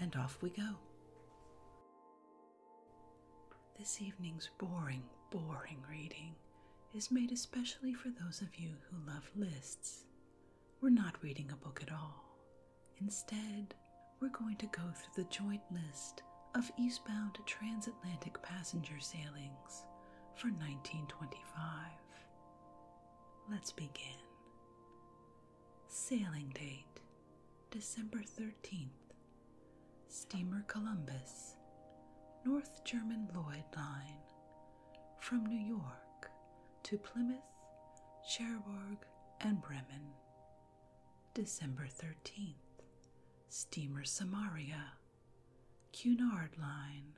and off we go. This evening's boring, boring reading is made especially for those of you who love lists. We're not reading a book at all. Instead, we're going to go through the joint list of eastbound transatlantic passenger sailings for 1925. Let's begin. Sailing date December 13th. Steamer Columbus, North German Lloyd Line, from New York to Plymouth, Cherbourg, and Bremen. December 13th. Steamer Samaria, Cunard Line,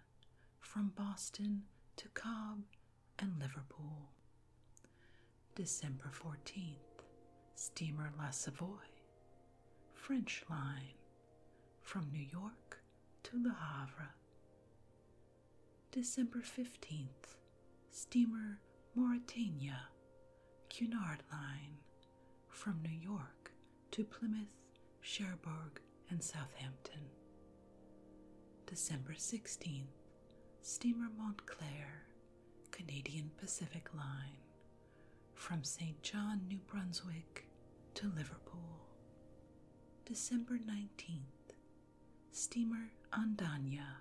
from Boston to Cobb and Liverpool. December 14th, steamer La Savoie, French line, from New York to Le Havre. December 15th, steamer Mauritania, Cunard line, from New York to Plymouth, Cherbourg, and Southampton. December 16th, steamer Montclair, Canadian Pacific Line, from St. John, New Brunswick to Liverpool. December 19th, steamer Andania,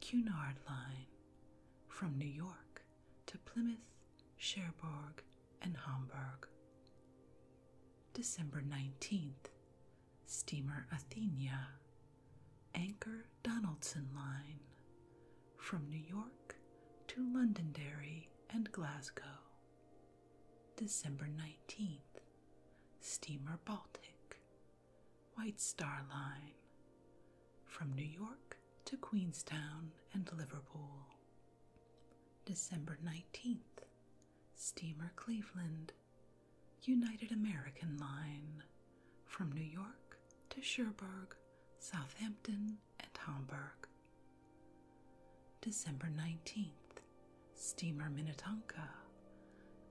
Cunard Line, from New York to Plymouth, Cherbourg, and Hamburg. December 19th, steamer Athenia, Anchor Donaldson Line, from New York to Londonderry and Glasgow. December 19th, steamer Baltic, White Star Line, from New York to Queenstown and Liverpool. December 19th, steamer Cleveland, United American Line from New York to Cherbourg, Southampton, and Hamburg. December 19th, Steamer Minnetonka,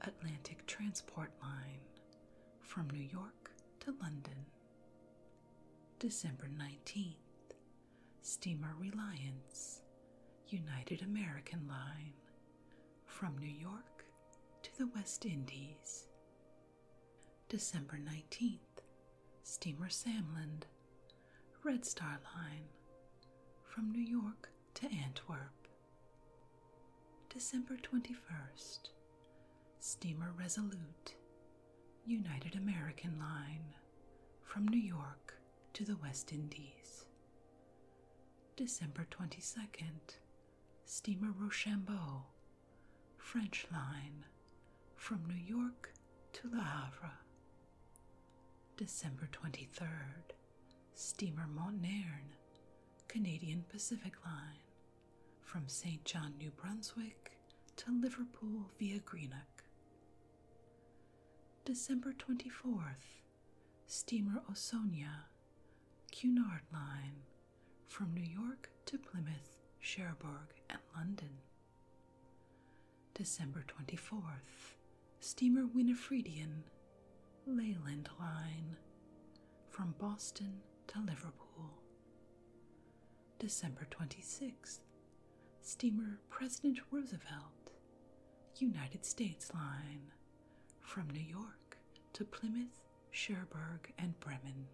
Atlantic Transport Line from New York to London. December 19th, Steamer Reliance, United American Line from New York to the West Indies. December 19th, steamer Samland, Red Star Line, from New York to Antwerp. December 21st, steamer Resolute, United American Line, from New York to the West Indies. December 22nd, Steamer Rochambeau, French line, from New York to Le Havre. December 23rd, Steamer Montnern, Canadian Pacific Line, from St. John, New Brunswick to Liverpool via Greenock. December 24th, steamer Osonia, Cunard Line, from New York to Plymouth, Cherbourg, and London. December 24th, steamer Winifredian, Leyland Line, from Boston to Liverpool. December 26th, steamer President Roosevelt, United States Line, from New York to Plymouth, Cherbourg, and Bremen.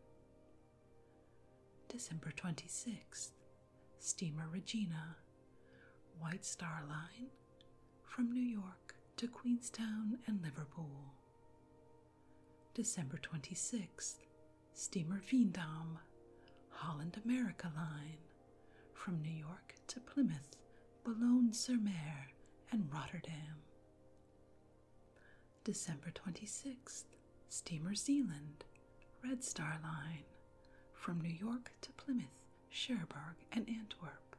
December 26th, Steamer Regina, White Star Line, from New York to Queenstown and Liverpool. December 26th, Steamer Veendam, Holland America Line, from New York to Plymouth Boulogne-sur-Mer, and Rotterdam. December 26th, Steamer Zealand, Red Star Line, from New York to Plymouth, Cherbourg, and Antwerp.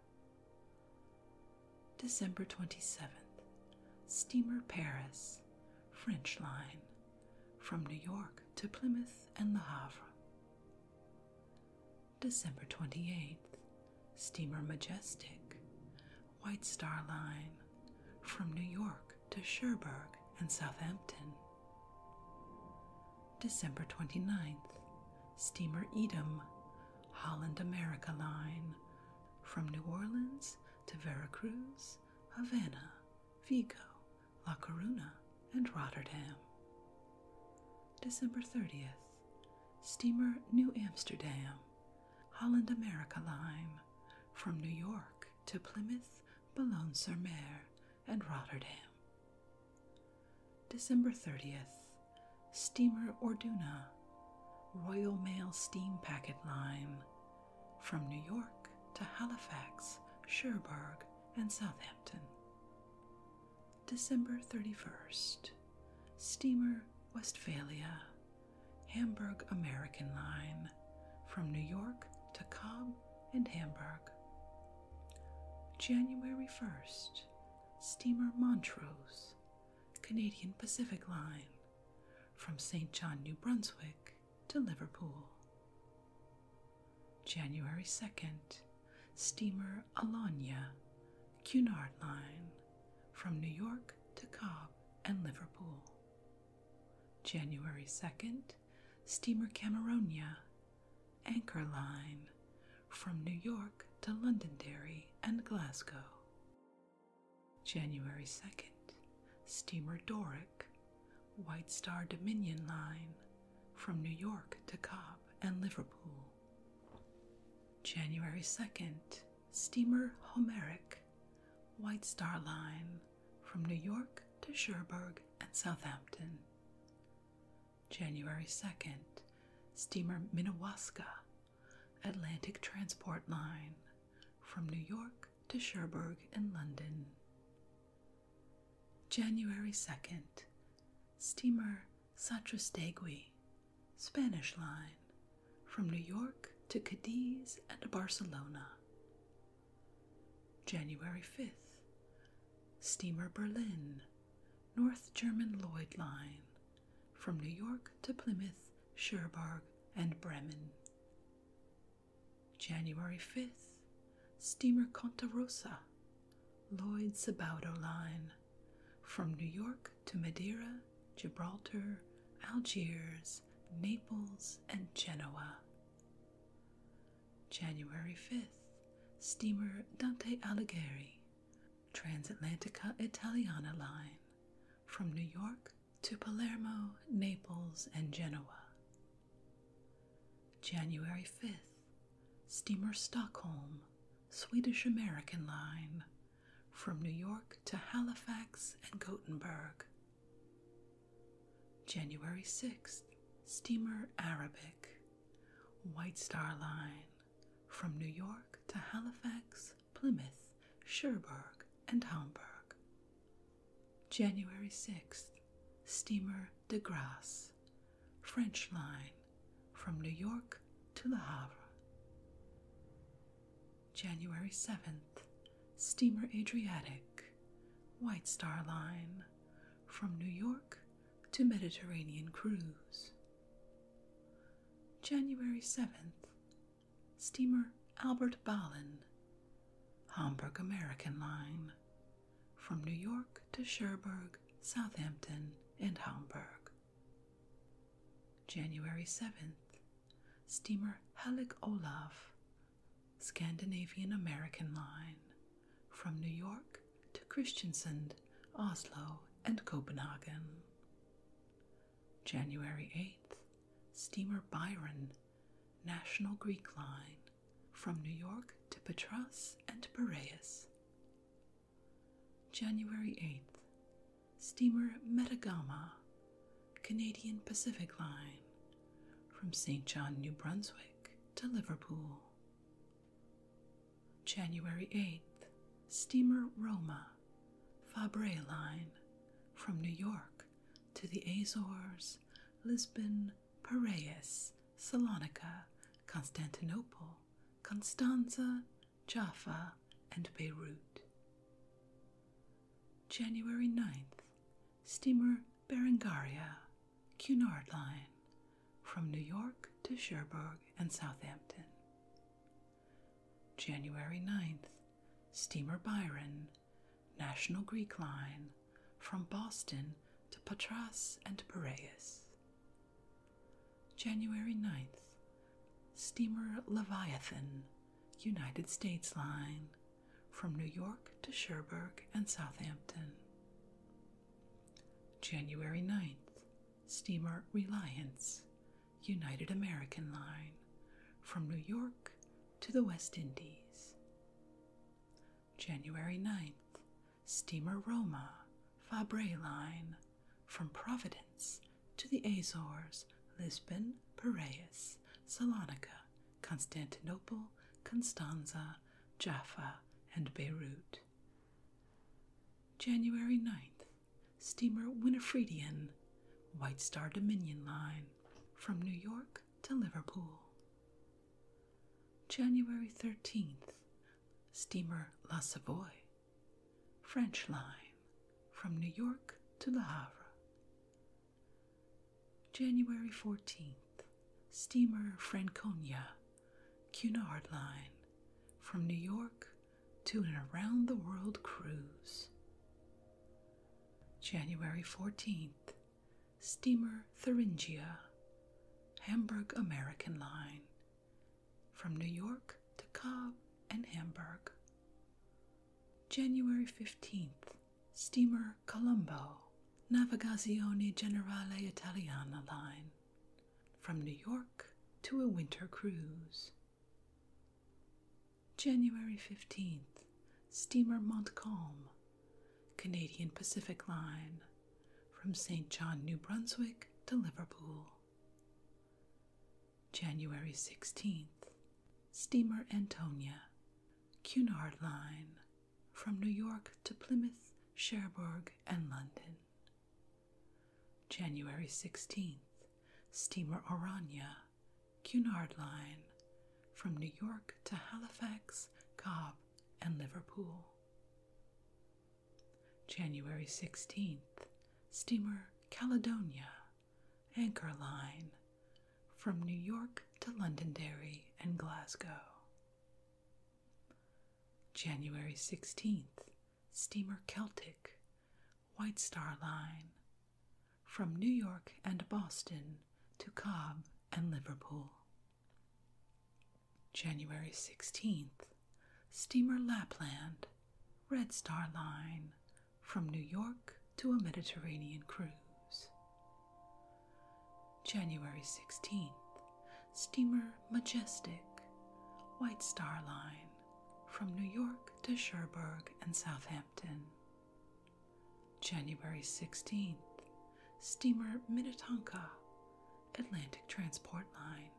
December 27th, Steamer Paris, French Line, from New York to Plymouth and Le Havre. December 28th, Steamer Majestic, White Star Line, from New York to Cherbourg and Southampton. December 29th, Steamer Edom, Holland America Line, from New Orleans to Veracruz, Havana, Vigo, La Coruna, and Rotterdam. December 30th, steamer New Amsterdam, Holland America Line, from New York to Plymouth, Boulogne sur Mer, and Rotterdam. December 30th, steamer Orduna, Royal Mail Steam Packet Line, from New York to Halifax, Cherbourg, and Southampton. December 31st, steamer Westphalia, Hamburg American Line, from New York to Cobb and Hamburg. January 1st, steamer Montrose, Canadian Pacific Line, from St. John, New Brunswick to Liverpool. January 2nd, steamer near Cunard Line, from New York to Cob and Liverpool. January 2nd, steamer Cameronia, Anchor Line, from New York to Londonderry and Glasgow. January 2nd, steamer Doric, White Star Dominion Line, from New York to Cob and Liverpool. January 2nd, steamer Homeric, White Star Line, from New York to Cherbourg and Southampton. January 2nd, steamer Minnewaska, Atlantic Transport Line, from New York to Cherbourg and London. January 2nd, steamer Satrastegui, Spanish line, from New York to Cadiz and Barcelona. January 5th, steamer Berlin, North German Lloyd line, from New York to Plymouth, Cherbourg, and Bremen. January 5th, steamer Conta Rosa, Lloyd Sabaudo line, from New York to Madeira, Gibraltar, Algiers, Naples, and Genoa. January 5th, steamer Dante Alighieri, Transatlantica Italiana Line, from New York to Palermo, Naples, and Genoa. January 5th, steamer Stockholm, Swedish American Line, from New York to Halifax and Gothenburg. January 6th, steamer Arabic, White Star Line, from New York to Halifax, Plymouth, Cherbourg, and Hamburg. January 6th, steamer De Grasse, French Line, from New York to Le Havre. January 7th, steamer Adriatic, White Star Line, from New York to Mediterranean Cruise. January 7th, steamer Albert Ballin, Hamburg American Line, from New York to Cherbourg, Southampton, and Hamburg. January 7th, steamer Halleck Olaf, Scandinavian American Line, from New York to Christiansand, Oslo, and Copenhagen. January 8th, steamer Byron, National Greek Line, from New York to Patras and Piraeus. January 8th, steamer Metagama, Canadian Pacific Line, from St. John, New Brunswick to Liverpool. January 8th, steamer Roma, Fabre Line, from New York to the Azores, Lisbon, Piraeus, Salonica, Constantinople, Constanza, Jaffa, and Beirut. January 9th, steamer Berengaria, Cunard Line, from New York to Cherbourg and Southampton. January 9th, steamer Byron, National Greek Line, from Boston to Patras and Piraeus. January 9th, steamer Leviathan, United States Line, from New York to Sherburne and Southampton. January 9th, steamer Reliance, United American Line, from New York to the West Indies. January 9th, steamer Roma, Fabre Line, from Providence to the Azores, Lisbon, Piraeus, Salonica, Constantinople, Constanza, Jaffa, and Beirut. January 9th, steamer Winifredian, White Star Dominion Line, from New York to Liverpool. January 13th, steamer La Savoy, French Line, from New York to Le Havre. January 14th, steamer Franconia, Cunard Line from New York to an around the world cruise. January 14th, steamer Thuringia, Hamburg American Line from New York to Cobb and Hamburg. January 15th, steamer Colombo, Navigazione Generale Italiana line, from New York to a winter cruise. January 15th, steamer Montcalm, Canadian Pacific line, from St. John, New Brunswick to Liverpool. January 16th, steamer Antonia, Cunard Line, from New York to Plymouth, Cherbourg, and London. January 16th, steamer Orania, Cunard Line, from New York to Halifax, Cob, and Liverpool. January 16th, steamer Caledonia, Anchor Line, from New York to Londonderry and Glasgow. January 16th, steamer Celtic, White Star Line, from New York and Boston to Cobb and Liverpool. January 16th, steamer Lapland, Red Star Line, from New York to a Mediterranean cruise. January 16th, steamer Majestic, White Star Line, from New York to Cherbourg and Southampton. January 16th, steamer Minnetonka, Atlantic Transport Line,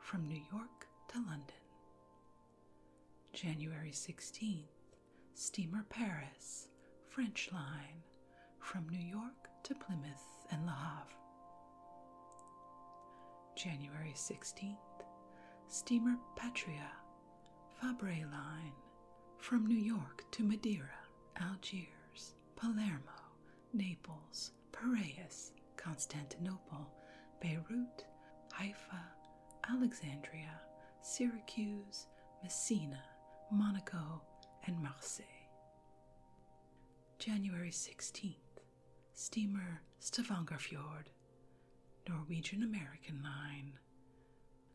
from New York to London. January 16th, steamer Paris, French line, from New York to Plymouth and La Havre. January 16th, steamer Patria, Fabre line, from New York to Madeira, Algiers, Palermo, Naples, Piraeus, Constantinople, Beirut, Haifa, Alexandria, Syracuse, Messina, Monaco, and Marseille. January 16th, steamer Stavangerfjord, Norwegian American Line.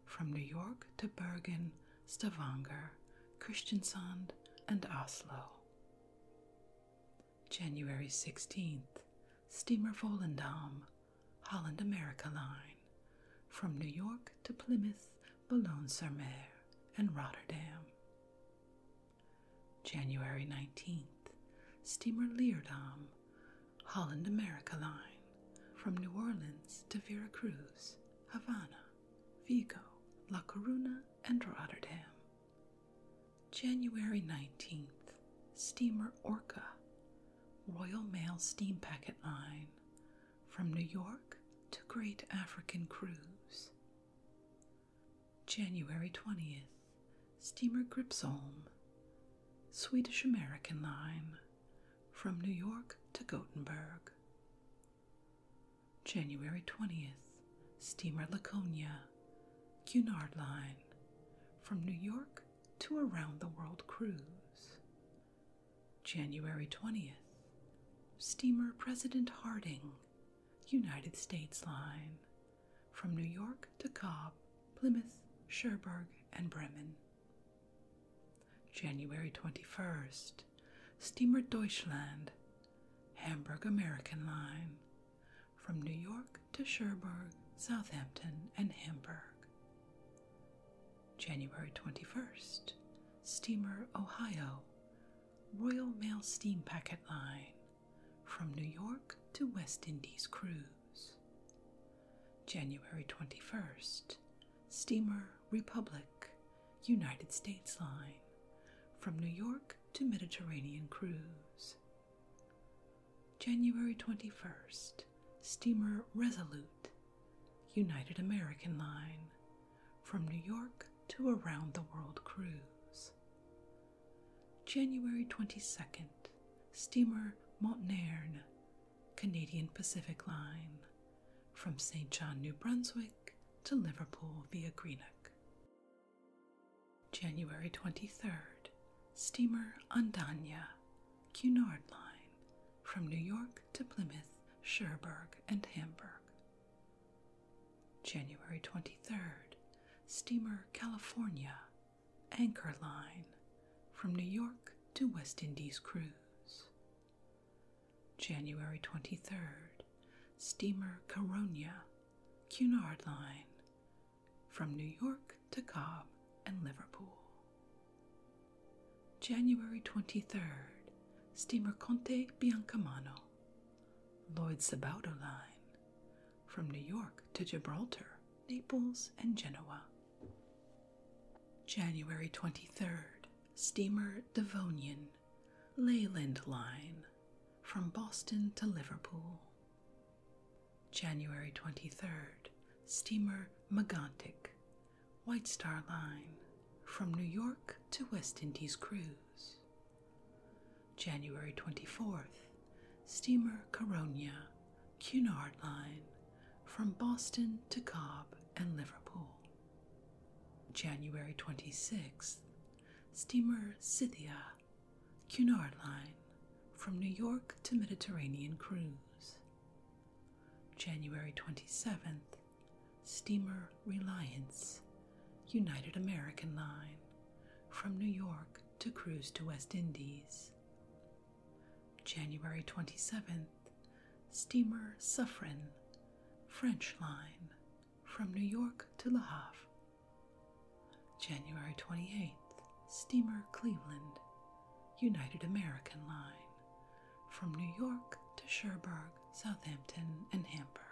From New York to Bergen, Stavanger, Christiansand, and Oslo. January 16th, steamer Volendam, Holland America Line, from New York to Plymouth, Boulogne sur Mer, and Rotterdam. January 19th, steamer Leerdam, Holland America Line, from New Orleans to Vera Cruz, Havana, Vigo, La Coruna, and Rotterdam. January 19th, steamer Orca, Royal Mail Steam Packet Line, from New York to Great African Cruise. January 20th, steamer Gripsholm, Swedish American Line, from New York to Gothenburg. January 20th, steamer Laconia, Cunard Line from New York to Around the World Cruise. January 20th, Steamer President Harding, United States Line from New York to Cobb, Plymouth, Cherbourg, and Bremen. January 21st, Steamer Deutschland, Hamburg American Line from New York to Cherbourg, Southampton, and Hamburg. January 21st, steamer Ohio, Royal Mail Steam Packet Line, from New York to West Indies Cruise. January 21st, steamer Republic, United States Line, from New York to Mediterranean Cruise. January 21st, steamer Resolute, United American Line, from New York to Around the World Cruise. January 22nd, steamer Montnairn, Canadian Pacific Line, from St. John, New Brunswick to Liverpool via Greenock. January 23rd, steamer Andania, Cunard Line, from New York to Plymouth, Cherbourg, and Hamburg. January 23rd, steamer California, Anchor Line, from New York to West Indies Cruise. January 23rd, steamer Caronia, Cunard Line, from New York to Cobb and Liverpool. January 23rd, steamer Conte Biancamano, Lloyd Sabaudo Line, from New York to Gibraltar, Naples, and Genoa. January 23rd, steamer Devonian, Leyland Line, from Boston to Liverpool. January 23rd, steamer Magantic, White Star Line, from New York to West Indies cruise. January 24th, steamer Caronia, Cunard Line, from Boston to Cobb and Liverpool. January 26th, steamer Scythia, Cunard Line from New York to Mediterranean Cruise. January 27th, Steamer Reliance, United American Line from New York to Cruise to West Indies. January 27th, Steamer Suffren, French Line from New York to Le Havre January 28th, steamer Cleveland, United American Line, from New York to Cherbourg, Southampton, and Hamburg.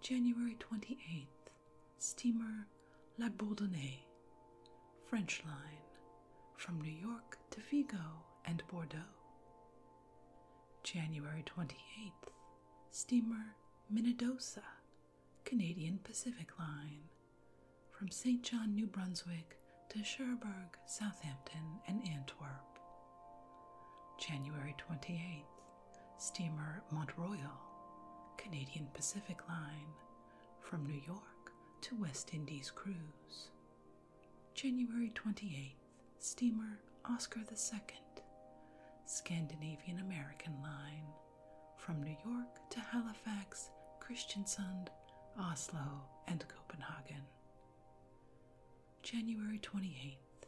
January 28th, steamer La Bourdonnais, French line, from New York to Vigo and Bordeaux. January 28th, steamer Minnedosa, Canadian Pacific Line, from St. John, New Brunswick to Cherbourg, Southampton, and Antwerp. January 28, steamer Mont Royal, Canadian Pacific Line, from New York to West Indies Cruise. January 28, steamer Oscar II Scandinavian American Line from New York to Halifax, Christiansund, Oslo, and Copenhagen. January 28th,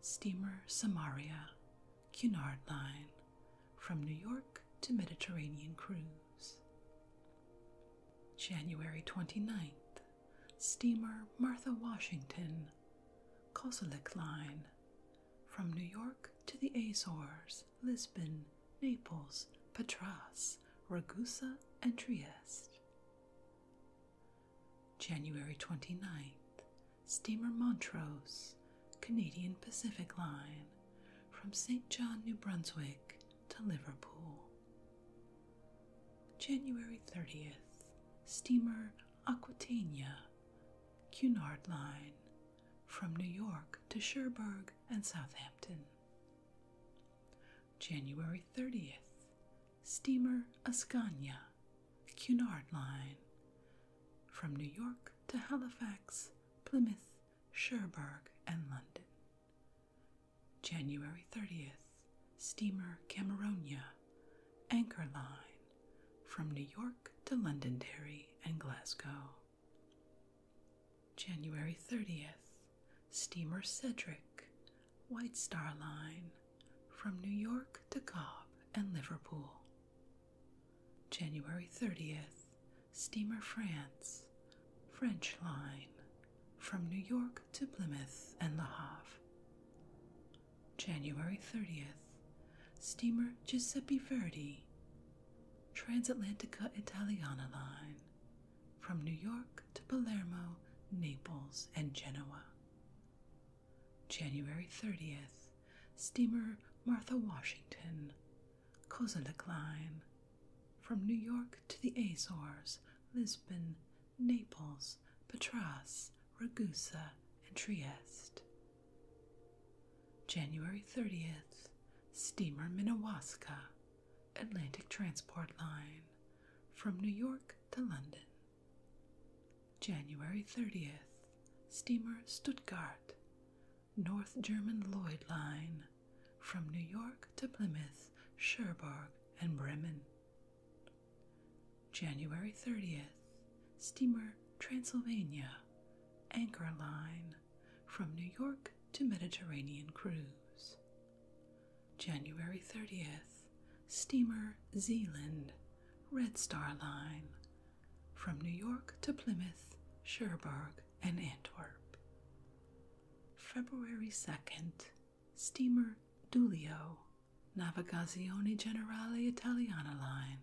Steamer Samaria, Cunard Line from New York to Mediterranean Cruise. January 29th, Steamer Martha Washington, Kozelik Line from New York to the Azores, Lisbon, Naples, Patras, Ragusa, and Trieste. January 29th, steamer Montrose, Canadian Pacific Line, from St. John, New Brunswick to Liverpool. January 30th, steamer Aquitania, Cunard Line from New York to Cherbourg and Southampton. January 30th, steamer Ascania, Cunard Line from New York to Halifax, Plymouth, Cherbourg, and London. January 30th, steamer Cameronia, Anchor Line from New York to Londonderry and Glasgow. January 30th, Steamer Cedric, White Star Line from New York to Cobb and Liverpool. January 30th, Steamer France, French Line from New York to Plymouth and La Havre. January 30th, steamer Giuseppe Verdi, Transatlantica Italiana line, from New York to Palermo, Naples, and Genoa. January 30th, steamer Martha Washington, Kozalik line, from New York to the Azores, Lisbon, Naples, Patras, Ragusa, and Trieste. January 30th, steamer Minnewaska, Atlantic Transport Line, from New York to London. January 30th, steamer Stuttgart, North German Lloyd Line, from New York to Plymouth, Cherbourg, and Bremen. January 30th, steamer Transylvania, Anchor Line, from New York to Mediterranean Cruise. January 30th, steamer Zealand, Red Star Line, from New York to Plymouth, Cherbourg, and Antwerp. February 2nd, steamer Dulio, Navigazione Generale Italiana line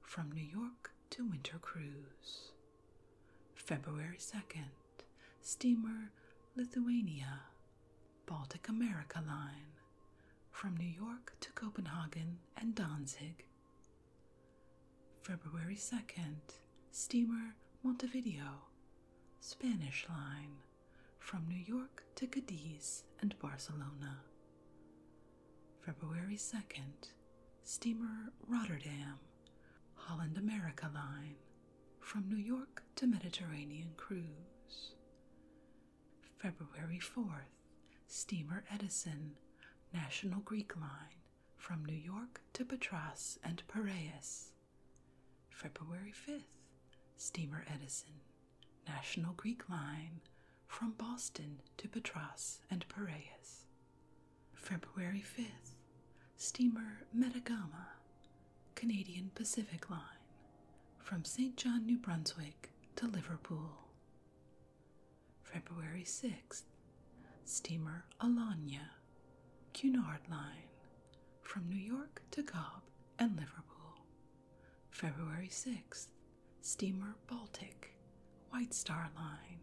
from New York to Winter Cruise. February 2nd, steamer Lithuania, Baltic America line from New York to Copenhagen and Danzig. February 2nd, steamer Montevideo, Spanish line from New York to Cadiz and Barcelona. February 2nd, steamer Rotterdam, Holland America Line, from New York to Mediterranean Cruise. February 4th, steamer Edison, National Greek Line, from New York to Patras and Piraeus. February 5th, steamer Edison, National Greek Line from Boston to Patras and Piraeus. February 5th, steamer Metagama, Canadian Pacific Line from St. John, New Brunswick to Liverpool. February 6th, steamer Alanya, Cunard Line from New York to Cobb and Liverpool. February 6th, steamer Baltic, White Star Line,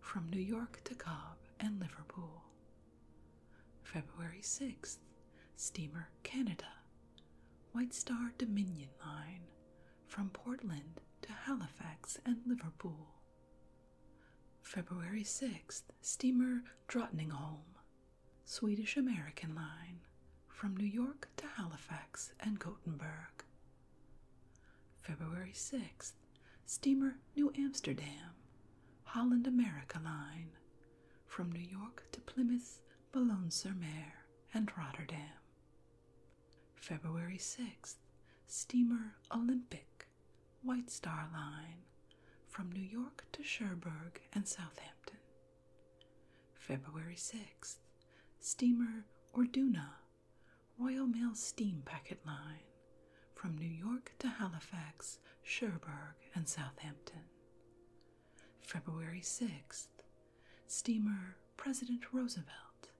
from New York to Cobb and Liverpool. February 6th, steamer Canada, White Star Dominion Line, from Portland to Halifax and Liverpool. February 6th, steamer Drottningholm, Swedish American Line, from New York to Halifax and Gothenburg. February 6, steamer New Amsterdam, Holland America Line, from New York to Plymouth, Boulogne sur Mer, and Rotterdam. February 6, steamer Olympic, White Star Line, from New York to Cherbourg and Southampton. February 6th, steamer Orduna, Royal Mail Steam Packet Line, from New York to Halifax, Cherbourg, and Southampton. February 6th, steamer President Roosevelt,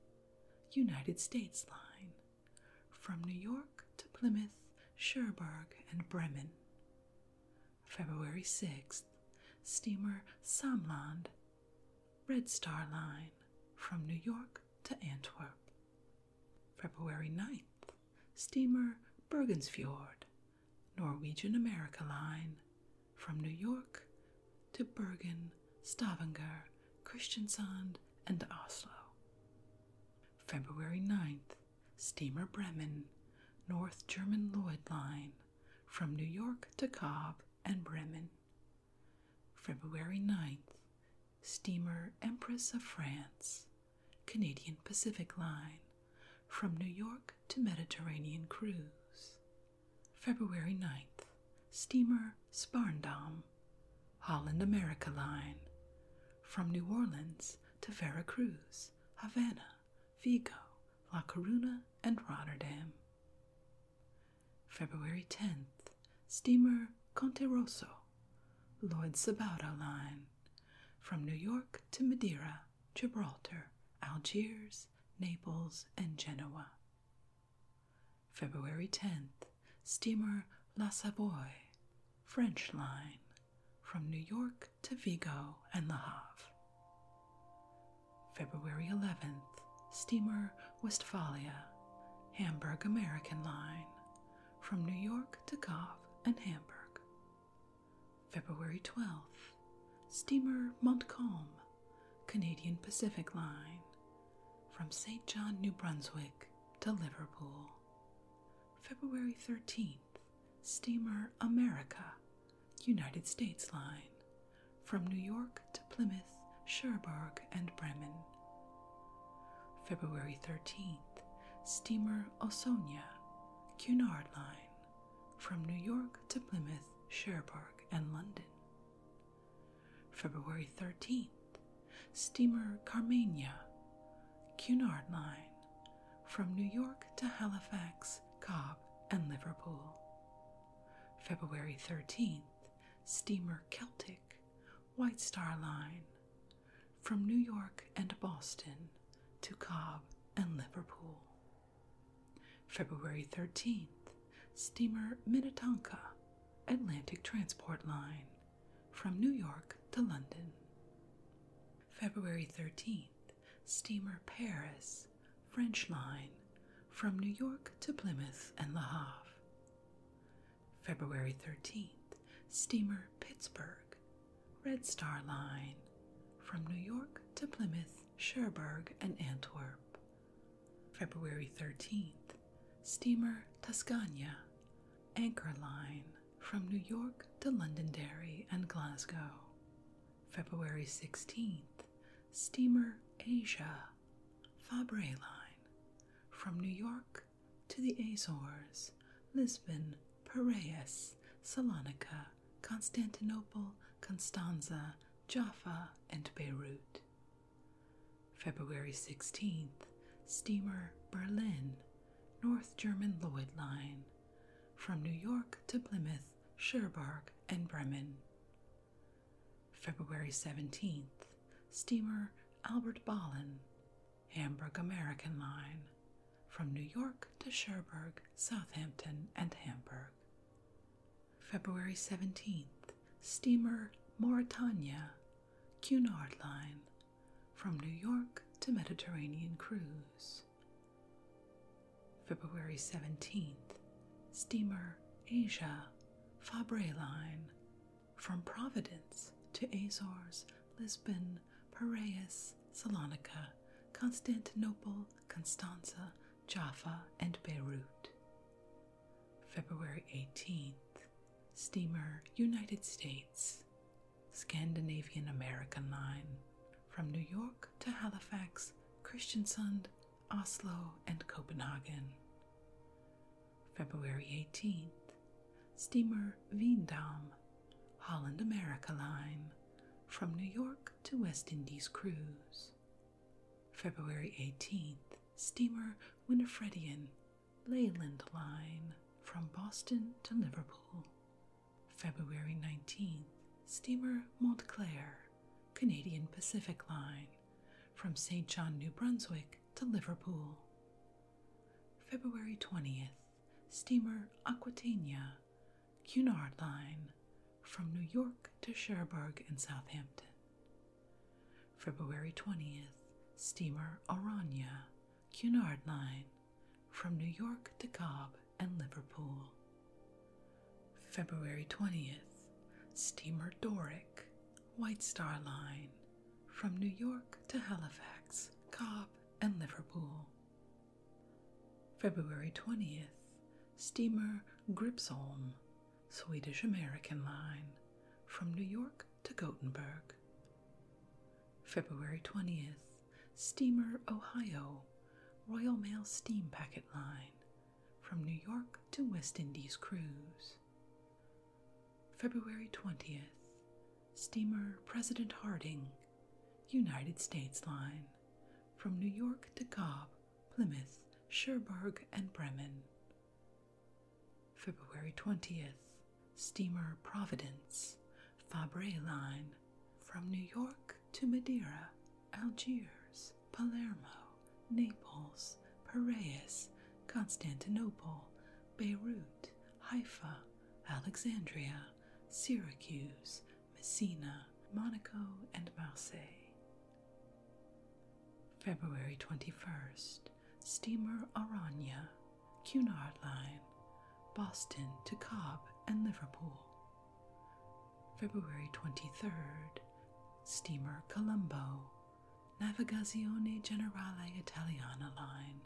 United States Line, from New York to Plymouth, Cherbourg, and Bremen. February 6th, steamer Samland, Red Star Line, from New York to Antwerp. February 9th, steamer Bergensfjord, Norwegian America Line, from New York to Bergen, Stavanger, Christiansand, and Oslo. February 9th, steamer Bremen, North German Lloyd Line, from New York to Cob and Bremen. February 9th, steamer Empress of France, Canadian Pacific Line, from New York to Mediterranean Cruise. February 9th, steamer Sparndam, Holland America Line, from New Orleans to Vera Cruz, Havana, Vigo, La Coruna, and Rotterdam. February 10th, steamer Conte Rosso, Lloyd Sabauda Line, from New York to Madeira, Gibraltar, Algiers, Naples, and Genoa. February 10th, steamer La Savoie, French Line, from New York to Vigo and La Havre. February 11th, steamer Westphalia, Hamburg American Line, from New York to Goff and Hamburg. February 12th, steamer Montcalm, Canadian Pacific Line, from St. John, New Brunswick to Liverpool. February 13th, steamer America, United States line from New York to Plymouth, Cherbourg, and Bremen. February 13th, steamer Osonia, Cunard line from New York to Plymouth, Cherbourg, and London. February 13th, steamer Carmania, Cunard line from New York to Halifax, Cobb, and Liverpool. February 13th, steamer Celtic, White Star Line, from New York and Boston to Cobb and Liverpool. February 13th, steamer Minnetonka, Atlantic Transport Line, from New York to London. February 13th, steamer Paris, French line, from New York to Plymouth and La Havre. February 13th, steamer Pittsburgh, Red Star Line, from New York to Plymouth, Cherbourg, and Antwerp. February 13th, steamer Tuscania, Anchor Line, from New York to Londonderry and Glasgow. February 16, steamer Asia, Fabre Line, from New York to the Azores, Lisbon, Piraeus, Salonica, Constantinople, Constanza, Jaffa, and Beirut. February 16, steamer Berlin, North German Lloyd Line, from New York to Plymouth, Cherbourg, and Bremen. February 17th, steamer Albert Ballin, Hamburg American Line, from New York to Cherbourg, Southampton, and Hamburg. February 17th, steamer Mauritania, Cunard Line, from New York to Mediterranean Cruise. February 17th, steamer Asia Fabre Line from Providence to Azores, Lisbon, Piraeus, Salonica, Constantinople, Constanza, Jaffa, and Beirut. February 18th, steamer United States, Scandinavian American Line from New York to Halifax, Christiansand, Oslo, and Copenhagen. February 18th, steamer Veendam, Holland America Line, from New York to West Indies cruise. February 18th, steamer Winifredian, Leyland Line, from Boston to Liverpool. February 19th, steamer Montclair, Canadian Pacific Line from St. John, New Brunswick to Liverpool. February 20th, steamer Aquitania, Cunard Line from New York to Cherbourg and Southampton. February 20th, steamer Aranya, Cunard Line from New York to Cob and Liverpool. February 20th, steamer Doric, White Star Line, from New York to Halifax, Cobb, and Liverpool. February 20th, steamer Gripsholm, Swedish American Line, from New York to Gothenburg. February 20th, steamer Ohio, Royal Mail Steam Packet Line, from New York to West Indies cruise. February 20th, steamer President Harding, United States Line, from New York to Cobb, Plymouth, Cherbourg, and Bremen. February 20th, steamer Providence, Fabre Line, from New York to Madeira, Algiers, Palermo, Naples, Piraeus, Constantinople, Beirut, Haifa, Alexandria, Syracuse, Messina, Monaco, and Marseille. February 21st, steamer Aranya, Cunard Line, Boston to Cob and Liverpool. February 23rd, steamer Colombo, Navigazione Generale Italiana line,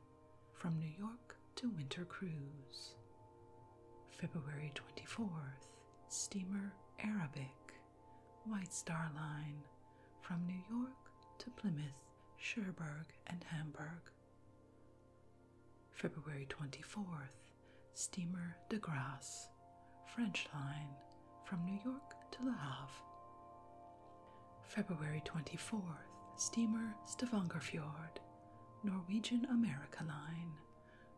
from New York to Winter Cruise. February 24th, steamer Arabic, White Star Line, from New York to Plymouth, Cherbourg, and Hamburg. February 24th, steamer de Grasse, French line, from New York to La Havre. February 24th, steamer Stavanger Norwegian America Line,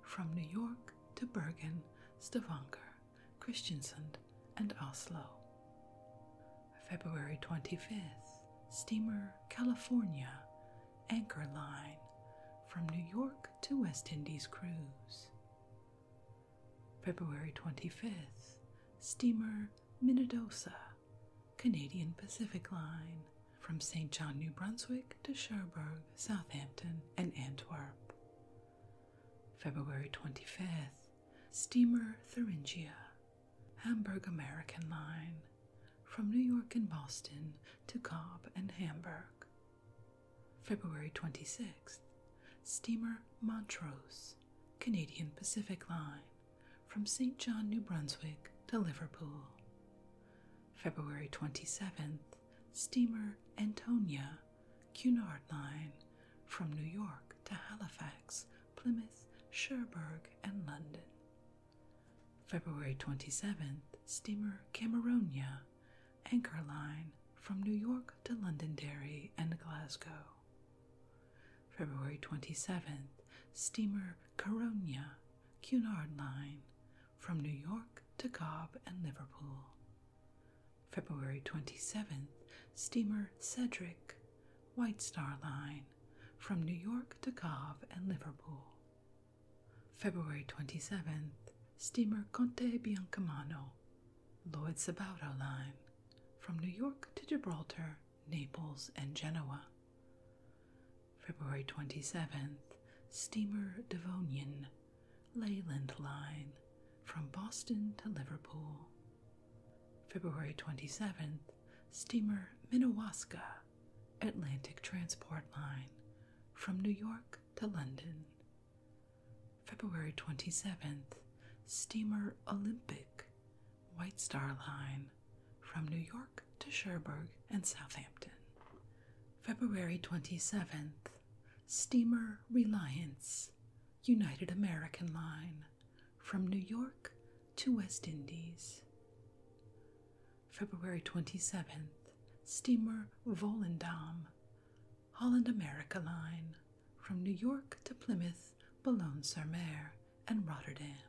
from New York to Bergen, Stavanger, Christiansand, and Oslo. February 25th, steamer California, Anchor Line, from New York to West Indies cruise. February 25th, steamer Minnedosa, Canadian Pacific Line, from St. John, New Brunswick to Cherbourg, Southampton, and Antwerp. February 25th, steamer Thuringia, Hamburg American Line, from New York and Boston to Cobb and Hamburg. February 26th, steamer Montrose, Canadian Pacific Line, from St. John, New Brunswick to Liverpool. February 27th, steamer Antonia, Cunard Line, from New York to Halifax, Plymouth, Cherbourg, and London. February 27th, steamer Cameronia, anchor line from New York to Londonderry and Glasgow. February 27th, steamer Caronia, Cunard Line, from New York to Cobb and Liverpool. February 27th, steamer Cedric, White Star Line, from New York to Cobb and Liverpool. February 27th, steamer Conte Biancamano, Lloyd Sabato Line, from New York to Gibraltar, Naples, and Genoa. February 27th, steamer Devonian, Leyland Line, from Boston to Liverpool. February 27th, steamer Minnewaska, Atlantic Transport Line, from New York to London. February 27th, steamer Olympic, White Star Line, from New York to Cherbourg and Southampton. February 27th, steamer Reliance, United American Line, from New York to West Indies. February 27th, steamer Volendam, Holland America Line from New York to Plymouth, Boulogne sur Mer, and Rotterdam.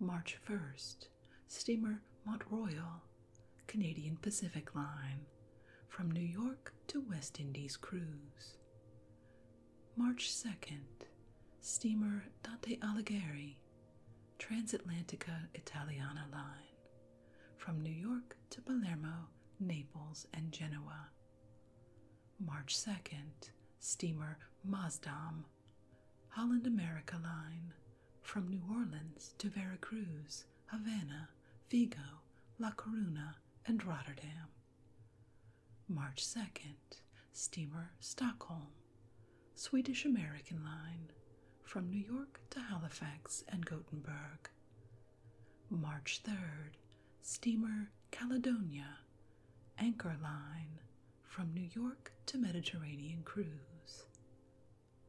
March 1st, steamer Mont Royal, Canadian Pacific Line from New York to West Indies cruise. March 2nd, steamer Dante Alighieri, Transatlantica Italiana line from New York to Palermo, Naples, and Genoa. March 2nd, steamer Mazdam, Holland America line from New Orleans to Veracruz, Havana, Vigo, La Coruna, and Rotterdam. March 2nd, steamer Stockholm, Swedish American line from New York to Halifax and Gothenburg. March 3rd, steamer Caledonia, Anchor Line, from New York to Mediterranean Cruise.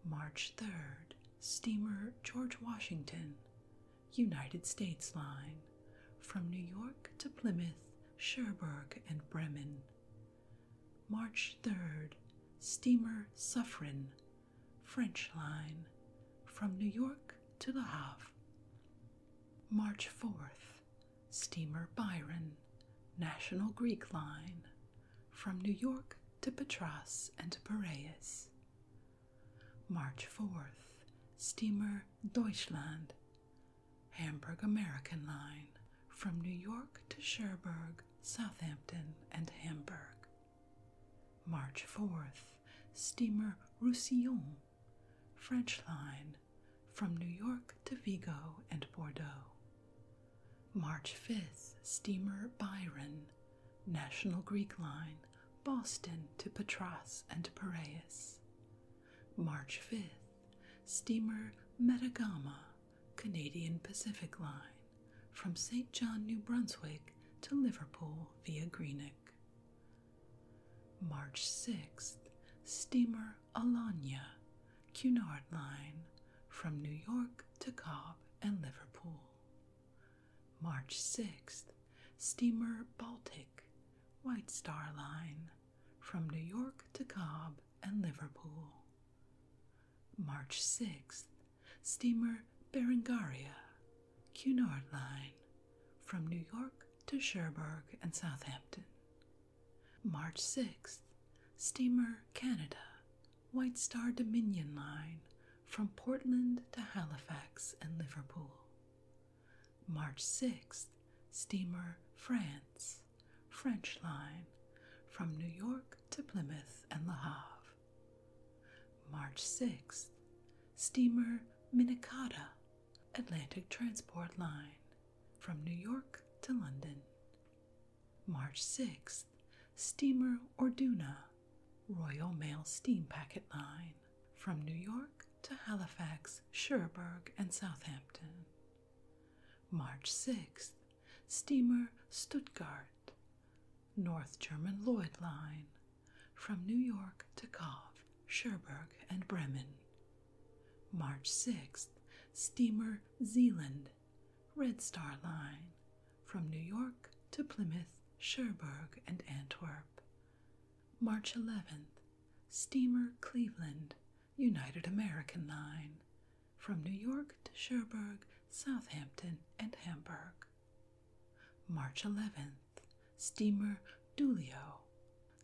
March 3rd, steamer George Washington, United States Line, from New York to Plymouth, Cherbourg, and Bremen. March 3rd, steamer Suffren, French line from New York to Le Havre. March 4th, steamer Byron, National Greek line from New York to Patras and Piraeus. March 4th, steamer Deutschland, Hamburg American line from New York to Cherbourg, Southampton, and Hamburg. March 4th, steamer Roussillon, French line, from New York to Vigo and Bordeaux. March 5th, steamer Byron, National Greek line, Boston to Patras and Piraeus. March 5th, steamer Metagama, Canadian Pacific Line from St. John, New Brunswick to Liverpool via Greenock. March 6th, steamer Alanya, Cunard Line from New York to Cobb and Liverpool. March 6th, steamer Baltic, White Star Line from New York to Cobb and Liverpool. March 6th, steamer Berengaria, Cunard Line, from New York to Cherbourg and Southampton. March 6, steamer Canada, White Star Dominion Line, from Portland to Halifax and Liverpool. March 6, steamer France, French Line, from New York to Plymouth and La Havre. March 6, steamer Minnetonka, Atlantic Transport Line, from New York to London. March 6, steamer Orduna, Royal Mail Steam Packet Line, from New York to Halifax, Cherbourg, and Southampton. March 6 steamer Stuttgart, North German Lloyd Line, from New York to Kov, Cherbourg, and Bremen. March 6th, steamer Zealand, Red Star Line, from New York to Plymouth, Cherbourg, and Antwerp. March 11th, steamer Cleveland, United American Line, from New York to Cherbourg, Southampton, and Hamburg. March 11th, steamer Dulio,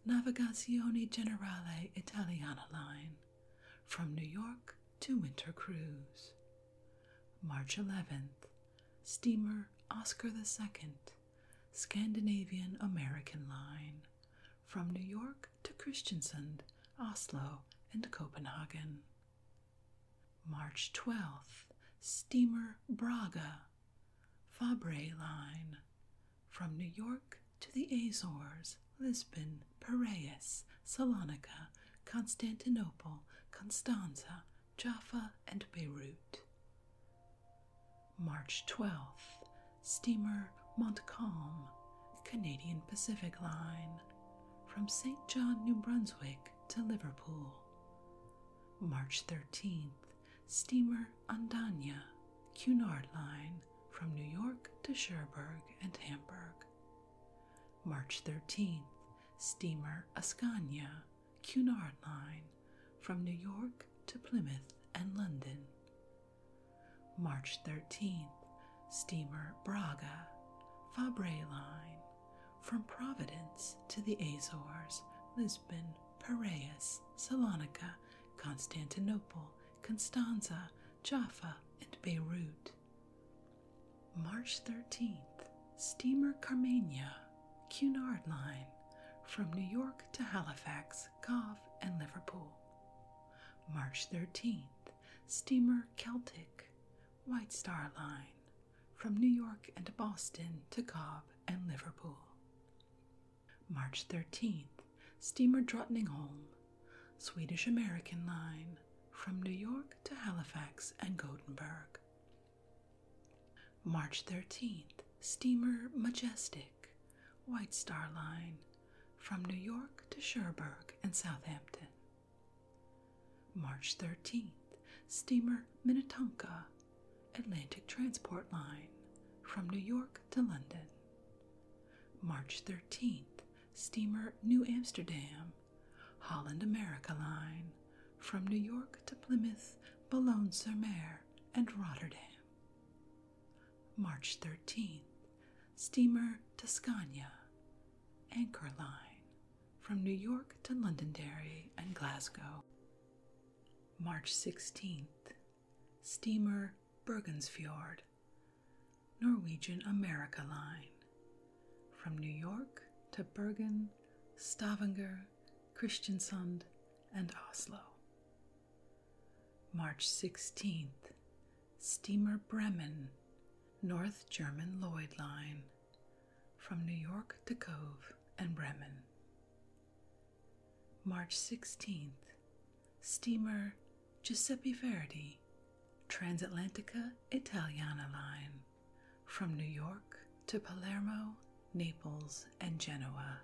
Navigazione Generale Italiana Line, from New York to Winter Cruise. March 11th, steamer Oscar II, Scandinavian American Line, from New York to Christiansand, Oslo, and Copenhagen. March 12th, steamer Braga, Fabre Line, from New York to the Azores, Lisbon, Piraeus, Salonica, Constantinople, Constanza, Jaffa, and Beirut. March 12th, steamer Montcalm, Canadian Pacific Line, from St. John, New Brunswick to Liverpool. March 13th, steamer Andania, Cunard Line, from New York to Cherbourg and Hamburg. March 13th, steamer Ascania, Cunard Line, from New York to Plymouth and London. March 13th, steamer Braga, Fabre Line, from Providence to the Azores, Lisbon, Piraeus, Salonica, Constantinople, Constanza, Jaffa, and Beirut. March 13th, steamer Carmania, Cunard Line, from New York to Halifax, Cove, and Liverpool. March 13th, steamer Celtic, White Star Line from New York and Boston to Cobb and Liverpool. March 13th, steamer Drottningholm, Swedish American Line from New York to Halifax and Gothenburg. March 13th, steamer Majestic, White Star Line from New York to Cherbourg and Southampton. March 13th, steamer Minnetonka, Atlantic Transport Line, from New York to London. March 13th, steamer New Amsterdam, Holland America Line, from New York to Plymouth, Boulogne sur Mer, and Rotterdam. March 13th, steamer Tuscania, Anchor Line, from New York to Londonderry and Glasgow. March 16th, steamer Bergenfjord. Norwegian America Line, from New York to Bergen, Stavanger, Kristiansund, and Oslo. March 16th, steamer Bremen, North German Lloyd Line, from New York to Cove and Bremen. March 16th, steamer Giuseppe Verdi, Transatlantica Italiana Line, from New York to Palermo, Naples, and Genoa.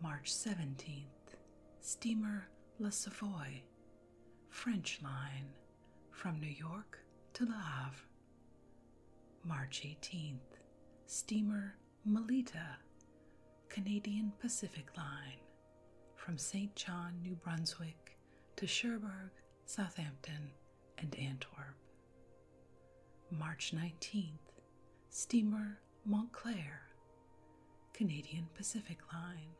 March 17th, steamer La Savoie, French Line, from New York to La Havre. March 18th, steamer Melita, Canadian Pacific Line, from St. John, New Brunswick to Cherbourg, Southampton, and Antwerp. March 19th, steamer Montclair, Canadian Pacific Line,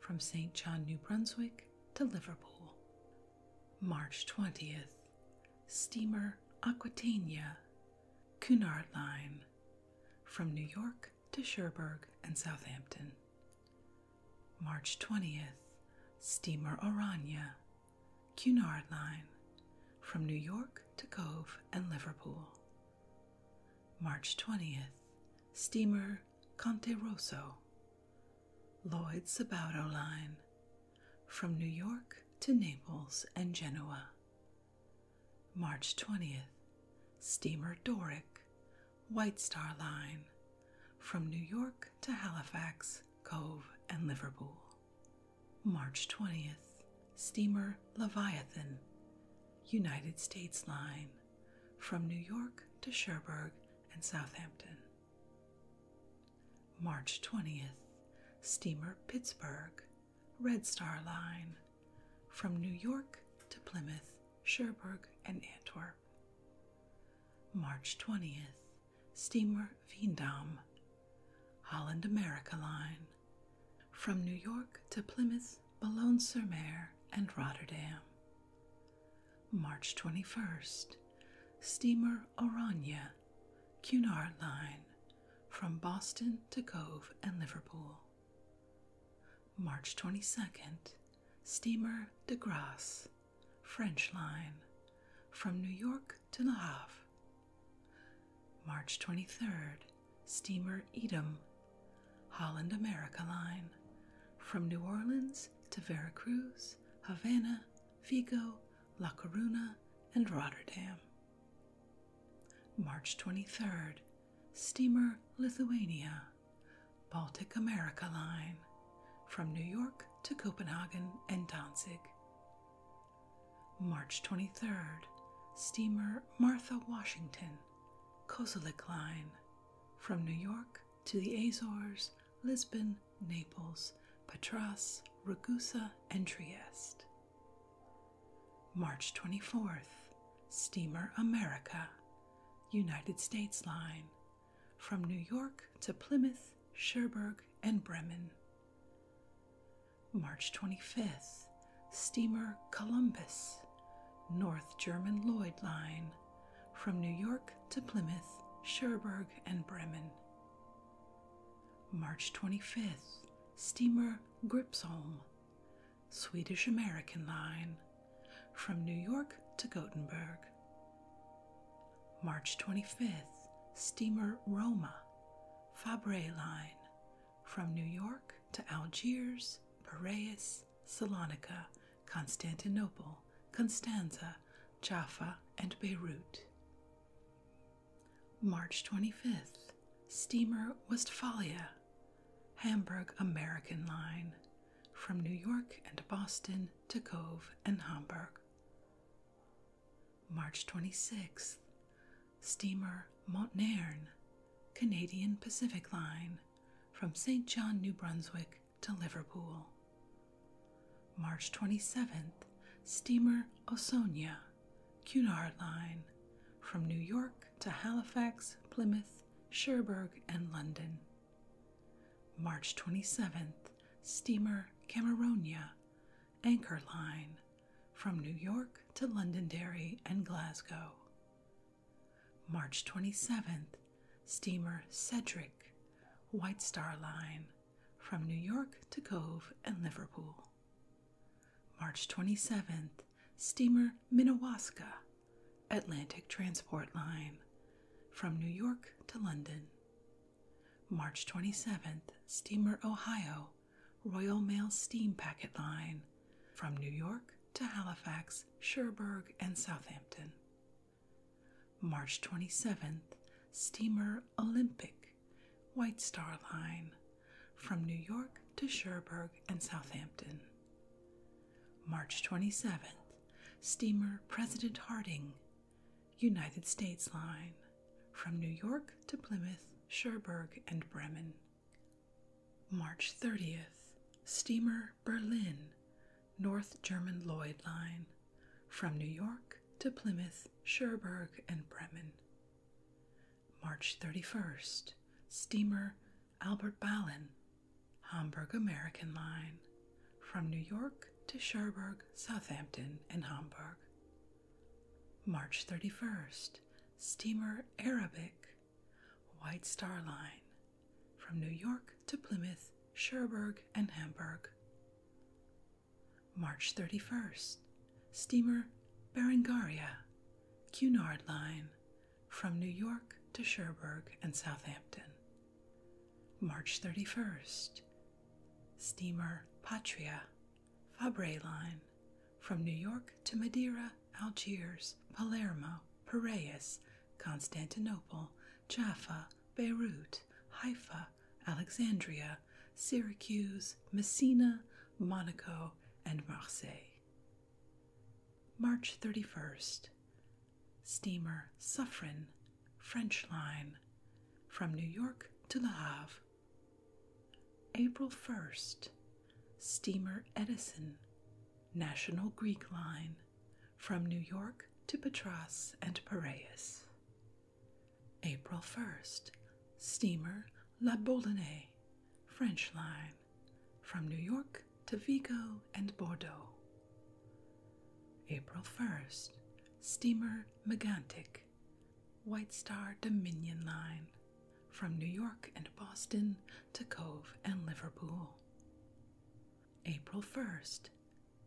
from St. John, New Brunswick to Liverpool. March 20th, steamer Aquitania, Cunard Line, from New York to Cherbourg and Southampton. March 20th, steamer Orania, Cunard Line, from New York to Cove and Liverpool. March 20th, steamer Conte Rosso, Lloyd Sabaudo Line from New York to Naples and Genoa. March 20th, Steamer Doric, White Star Line from New York to Halifax, Cove, and Liverpool. March 20th, Steamer Leviathan, United States Line from New York to Cherbourg and Southampton. March 20th, steamer Pittsburgh, Red Star Line, from New York to Plymouth, Cherbourg, and Antwerp. March 20th, steamer Veendam, Holland America Line, from New York to Plymouth, Boulogne-sur-Mer, and Rotterdam. March 21st, steamer Orania, Cunard Line, from Boston to Cove and Liverpool. March 22nd, steamer De Grasse, French Line, from New York to Le Havre. March 23rd, steamer Edam, Holland America Line, from New Orleans to Veracruz, Havana, Vigo, La Coruna, and Rotterdam. March 23rd, steamer Lithuania, Baltic America Line, from New York to Copenhagen and Danzig. March 23rd, steamer Martha Washington, Kozelik Line, from New York to the Azores, Lisbon, Naples, Patras, Ragusa, and Trieste. March 24th, Steamer America, United States Line, from New York to Plymouth, Cherbourg, and Bremen. March 25th, Steamer Columbus, North German Lloyd Line, from New York to Plymouth, Cherbourg, and Bremen. March 25th, steamer Gripsholm, Swedish American Line, from New York to Gothenburg. March 25th, steamer Roma, Fabre Line, from New York to Algiers, Piraeus, Salonica, Constantinople, Constanza, Jaffa, and Beirut. March 25th, steamer Westphalia, Hamburg American Line, from New York and Boston to Cove and Hamburg. March 26th, steamer Montnern, Canadian Pacific Line, from St. John, New Brunswick to Liverpool. March 27th, steamer Osonia, Cunard Line, from New York to Halifax, Plymouth, Cherbourg, and London. March 27th, steamer Cameronia, Anchor Line, from New York to Londonderry and Glasgow. March 27th, steamer Cedric, White Star Line, from New York to Cove and Liverpool. March 27th, steamer Minnewaska, Atlantic Transport Line, from New York to London. March 27th, steamer Ohio, Royal Mail Steam Packet Line, from New York to Halifax, Sherburne, and Southampton. March 27th, steamer Olympic, White Star Line, from New York to Cherbourg and Southampton. March 27th, steamer President Harding, United States Line, from New York to Plymouth, Cherbourg, and Bremen. March 30th, steamer Berlin, North German Lloyd Line, from New York to Plymouth, Cherbourg, and Bremen. March 31st, steamer Albert Ballin, Hamburg American Line, from New York to Cherbourg, Southampton, and Hamburg. March 31st, steamer Arabic, White Star Line, from New York to Plymouth, Cherbourg, and Hamburg. March 31st, steamer Berengaria, Cunard Line, from New York to Cherbourg and Southampton. March 31st, steamer Patria, Fabre Line, from New York to Madeira, Algiers, Palermo, Piraeus, Constantinople, Jaffa, Beirut, Haifa, Alexandria, Syracuse, Messina, Monaco, and Marseille. March 31st. Steamer Suffren, French line, from New York to La Havre. April 1st. Steamer Edison, National Greek line, from New York to Patras and Piraeus. April 1st, steamer La Boulonnais, French line, from New York to Vigo and Bordeaux. April 1st, steamer Megantic, White Star Dominion line, from New York and Boston to Cove and Liverpool. April 1st,